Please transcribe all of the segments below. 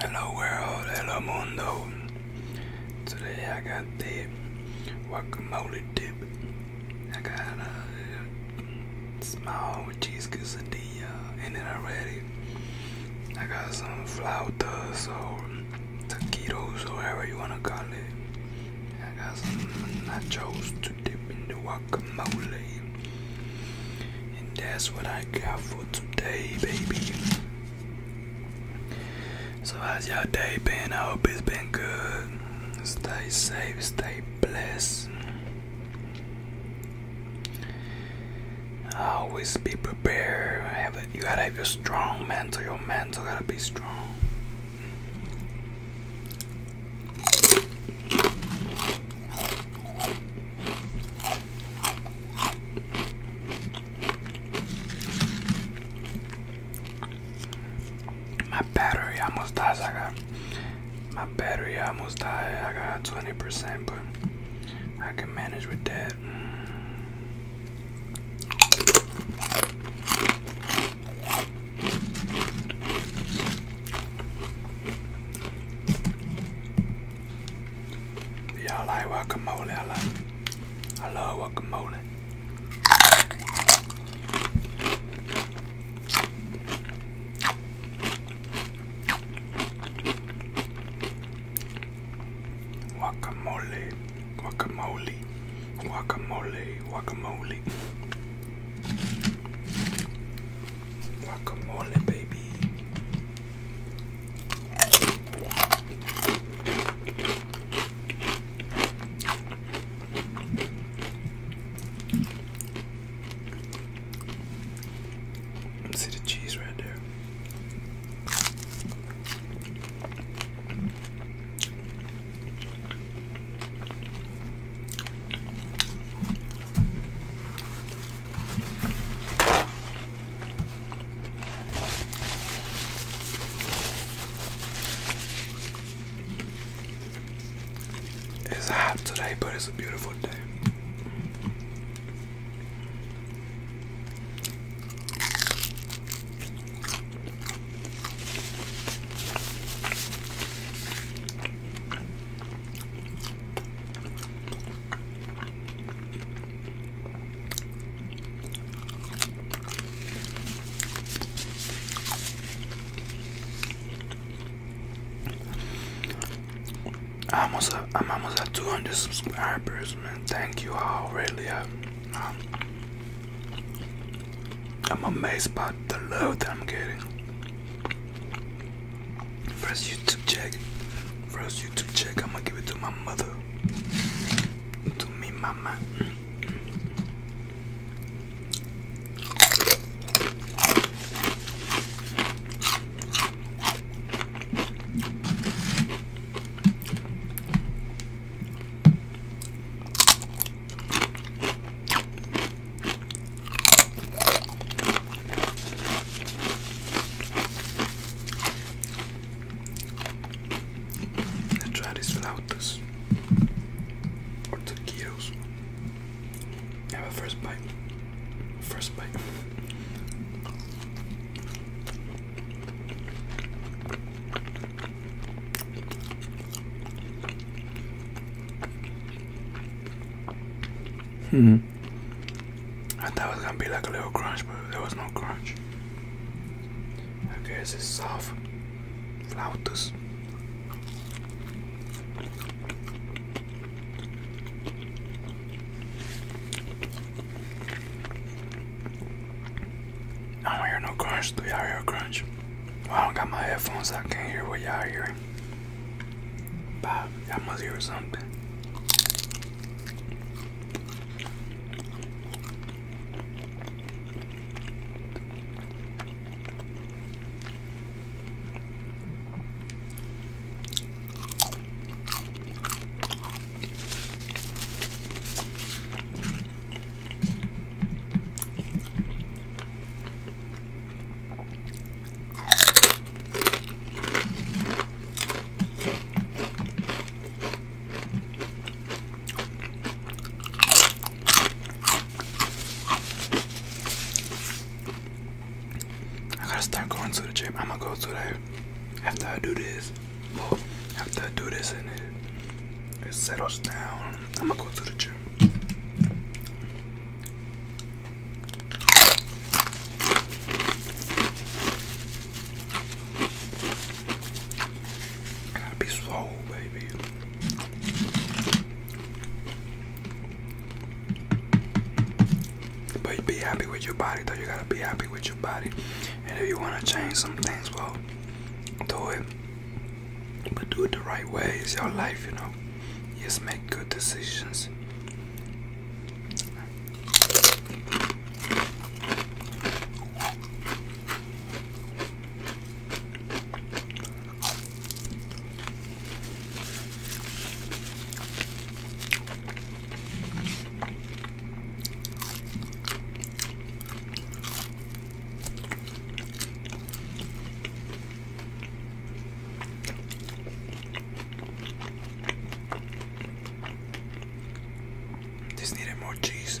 Hello world, hello mundo. Today I got the guacamole dip. I got a small cheese quesadilla in it already. I got some flautas or taquitos or whatever you wanna call it. I got some nachos to dip in the guacamole. And that's what I got for today, baby. So, how's your day been? I hope it's been good. Stay safe, stay blessed. Always be prepared. You gotta have your strong mental. Your mental gotta be strong. My battery almost dies. I got my battery almost died. I got 20%, but I can manage with that. Yeah, I like guacamole. I like. I love guacamole. Guacamole, guacamole, guacamole, guacamole. Come on, baby. See the cheese right there. It's hot today, but it's a beautiful day. Almost a, uh, I'm almost at uh, 200 subscribers, man. Thank you all, really. I, uh, am um, amazed by the love I'm getting. First YouTube check. First YouTube check. I'm gonna give it to my mother. To me, mama. Let's try these flautas or taquitos. Have a first bite. First bite. Hmm. I thought it was gonna be like a little crunch, but there was no crunch. I guess it's soft. Flautas. I don't hear no crunch. Do y'all hear crunch? I don't got my headphones. I can't hear what y'all hear there. Bob, I must hear something. I gotta start going to the gym. I'm gonna go to that after I do this. after I do this and it, it settles down. I'm gonna go to the gym. be slow, baby. But be happy with your body, though. You gotta be happy with your body. And if you wanna change some things, well, do it. But do it the right way. It's your life, you know. Just make good decisions. This needed more cheese.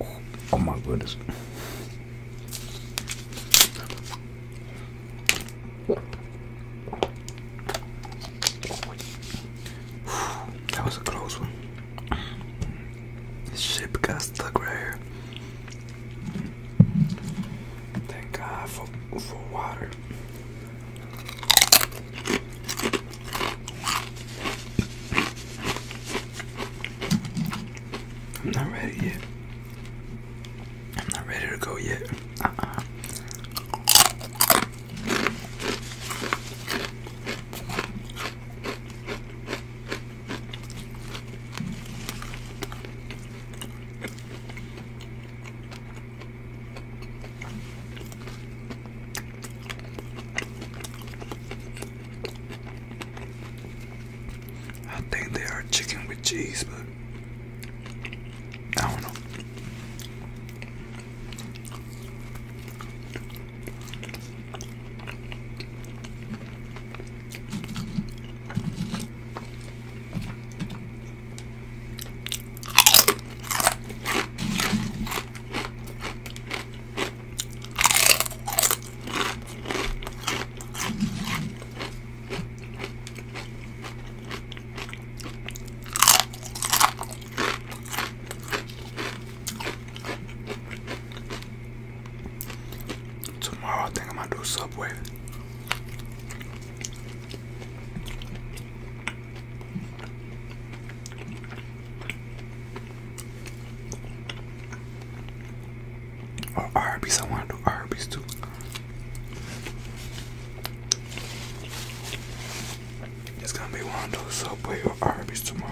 Oh, oh, my goodness. That was a close one. This ship got stuck right here. Thank God for for water. I'm not ready yet. I'm not ready to go yet. Uh-uh. I think they are chicken with cheese, but I don't know. Tomorrow I think I'm gonna do Subway. Arby's, I want to do Arby's too. It's gonna be one of those Subway or Arby's tomorrow.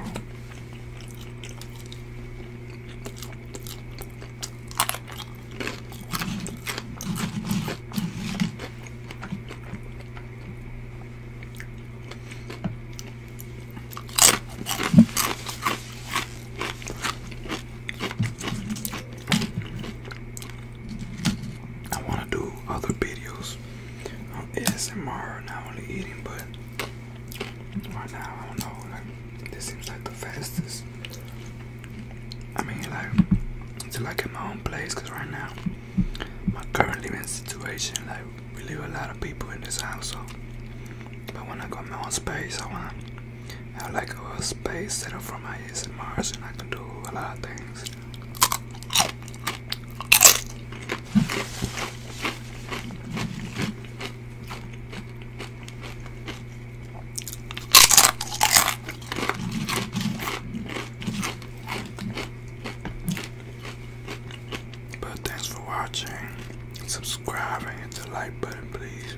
I want to do other videos on ASMR, not only eating, but right now I don't know. Like, this seems like the fastest I mean, like, to like in my own place, cause right now, my current living situation, like, we live a lot of people in this house, so, but when I got my own space, I want have like a space set up for my ASMRs, and I can do a lot of things. But thanks for watching, subscribe, and hit the like button, please.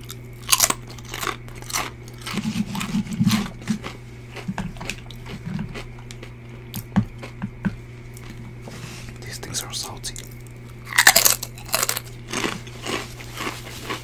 These things are salty.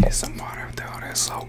Get some water after all that soap.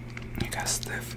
You got stiff.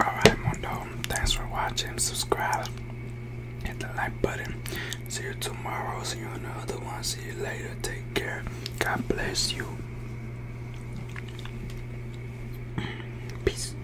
Alright, Mondo, thanks for watching. Subscribe, hit the like button. See you tomorrow. See you in the other one. See you later. Take care. God bless you. Peace.